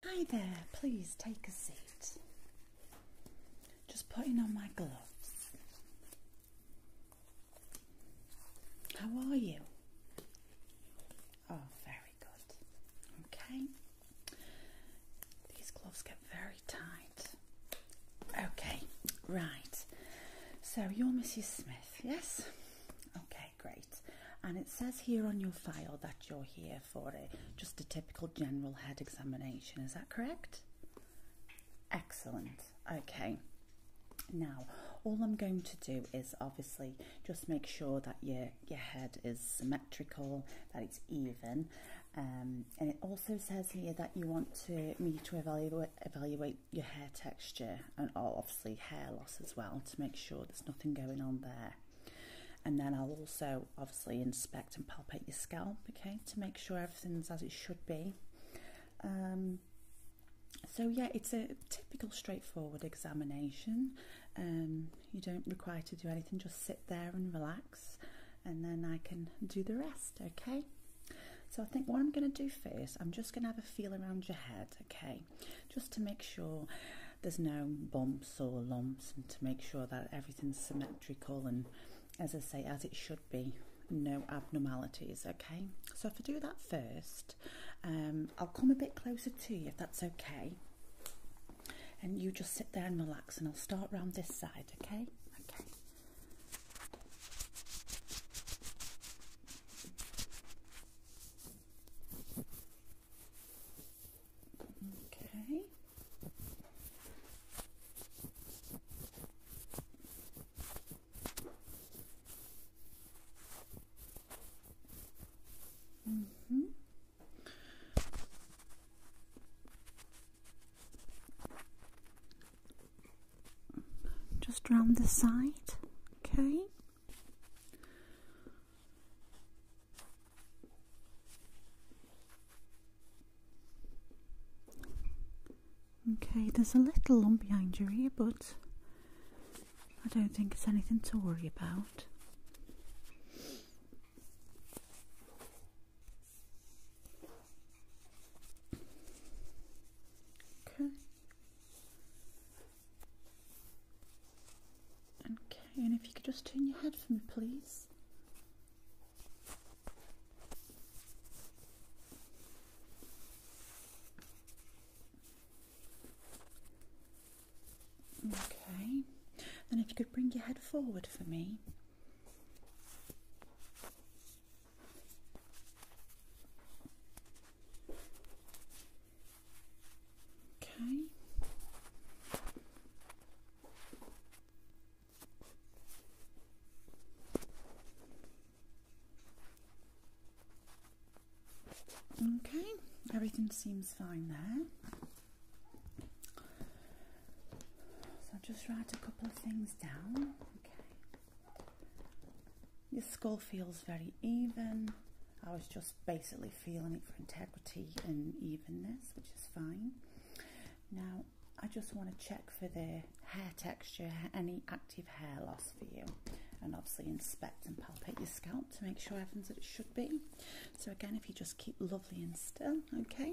Hi there, please take a seat. Just putting on my gloves. How are you? Oh, very good. Okay. These gloves get very tight. Okay, right. So you're Mrs. Smith, yes? Okay, great. And it says here on your file that you're here for a just a typical general head examination. Is that correct? Excellent. Okay. Now, all I'm going to do is obviously just make sure that your your head is symmetrical, that it's even, um, and it also says here that you want me to evaluate evaluate your hair texture and obviously hair loss as well to make sure there's nothing going on there. And then I'll also obviously inspect and palpate your scalp, okay, to make sure everything's as it should be. Um, so yeah, it's a typical straightforward examination. Um, you don't require to do anything, just sit there and relax, and then I can do the rest, okay? So I think what I'm going to do first, I'm just going to have a feel around your head, okay? just to make sure there's no bumps or lumps and to make sure that everything's symmetrical and as I say as it should be no abnormalities okay so if I do that first um, I'll come a bit closer to you if that's okay and you just sit there and relax and I'll start round this side okay okay Okay. Mm -hmm. Just round the side, okay. Okay, there's a little lump behind your ear, but I don't think it's anything to worry about. Okay. Okay, and if you could just turn your head for me, please. Okay, then if you could bring your head forward for me. Okay. Okay, everything seems fine there. So I'll just write a couple of things down. Okay. Your skull feels very even. I was just basically feeling it for integrity and evenness, which is fine. Now, I just want to check for the hair texture, any active hair loss for you. And obviously inspect and palpate your scalp to make sure everything's as it should be. So again, if you just keep lovely and still, okay?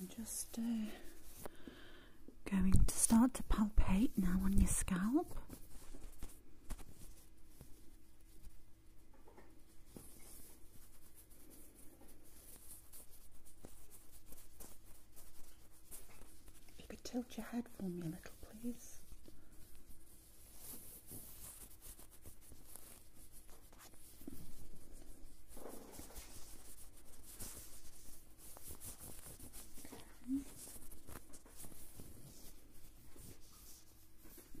I'm just uh, going to start to palpate now on your scalp. If you could tilt your head for me a little, please.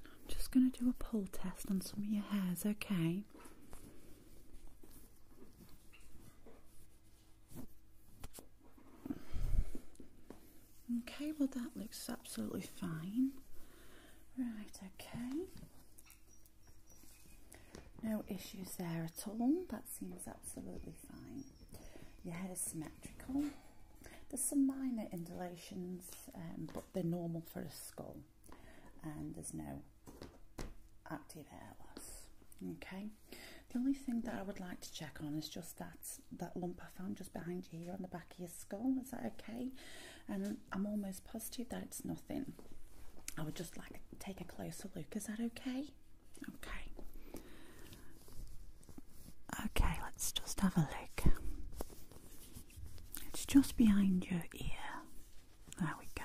I'm just going to do a pull test on some of your hairs, okay? Okay, well that looks absolutely fine. Right, okay. No issues there at all. That seems absolutely fine. Your head is symmetrical. There's some minor indentations, um, but they're normal for a skull. And there's no active hair loss. Okay. The only thing that I would like to check on is just that that lump I found just behind you here on the back of your skull. Is that okay? And I'm almost positive that it's nothing. I would just like to take a closer look. Is that okay? Okay. Okay, let's just have a look. It's just behind your ear. There we go.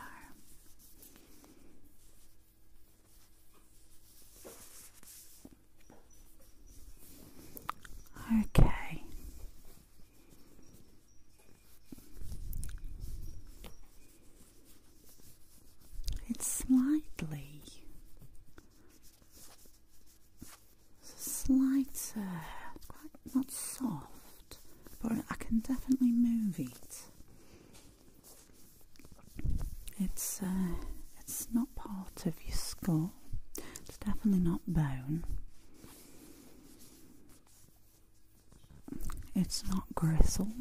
Okay. It's slightly slight, uh, quite not soft, but I can definitely move it. It's uh, it's not part of your skull. It's definitely not bone. It's not gristle.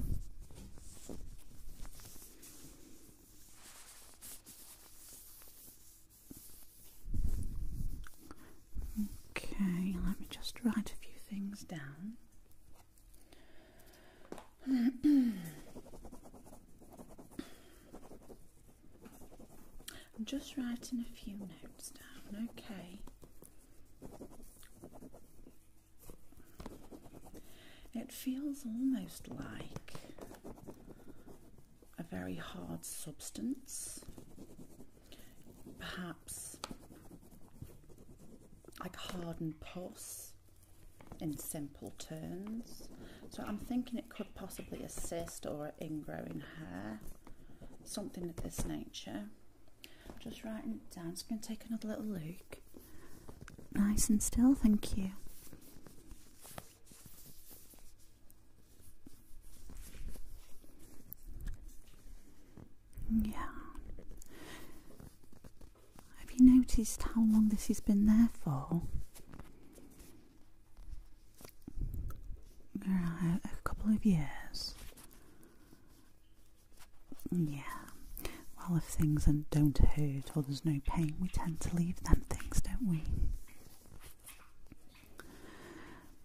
Okay, let me just write a few things down. I'm just writing a few notes down, okay. It feels almost like a very hard substance, perhaps like hardened pus in simple terms. So I'm thinking it could possibly assist or ingrowing hair, something of this nature. Just writing it down, just going to take another little look. Nice and still, thank you. Yeah. Have you noticed how long this has been there for? a couple of years. Yeah. Well, if things don't hurt or there's no pain, we tend to leave them things, don't we?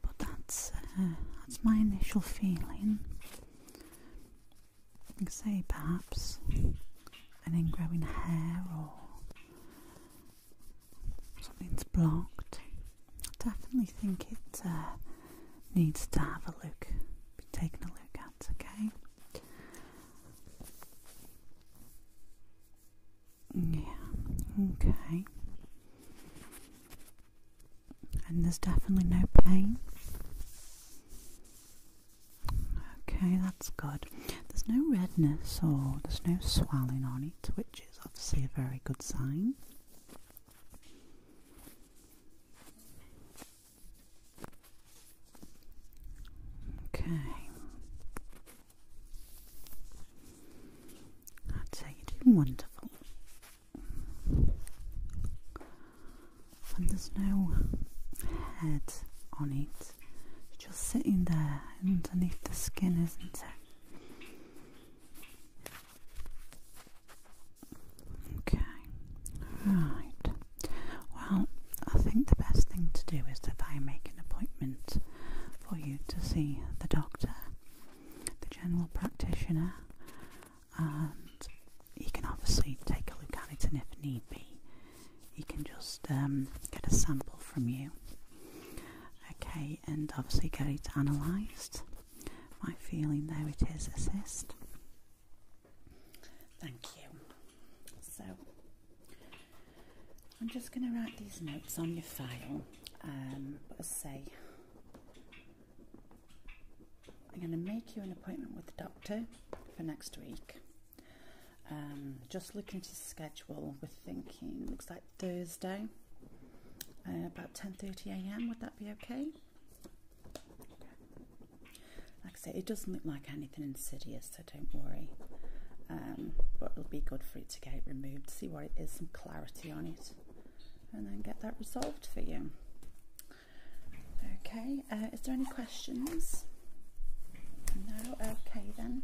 But that's uh, that's my initial feeling. You could say perhaps an ingrowing hair or something's blocked. I definitely think it uh, needs to have a look, be taken a look at, okay? Yeah, okay. And there's definitely no pain. Okay, that's good. There's no redness or there's no swelling on it, which is obviously a very good sign. Okay. I'd you're doing wonderful and there's no head on it. It's just sitting there underneath the skin, isn't it? Okay, right. Well, I think the best thing to do is that I make an appointment for you to see the doctor, the general practitioner, and you can obviously take a look at it and if need be you can just um, get a sample from you okay and obviously get it analysed my feeling there it is assist thank you so I'm just going to write these notes on your file um, but as say I'm going to make you an appointment with the doctor for next week. Um, just looking at the schedule, we're thinking looks like Thursday, uh, about 10:30 a.m. Would that be okay? Like I say, it doesn't look like anything insidious, so don't worry. Um, but it'll be good for it to get it removed, see what it is, some clarity on it, and then get that resolved for you. Okay, uh, is there any questions? No? Okay then.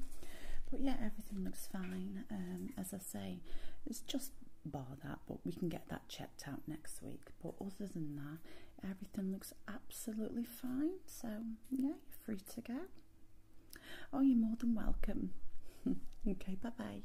But yeah, everything looks fine. Um, as I say, it's just bar that, but we can get that checked out next week. But other than that, everything looks absolutely fine. So yeah, you're free to go. Oh, you're more than welcome. okay, bye bye.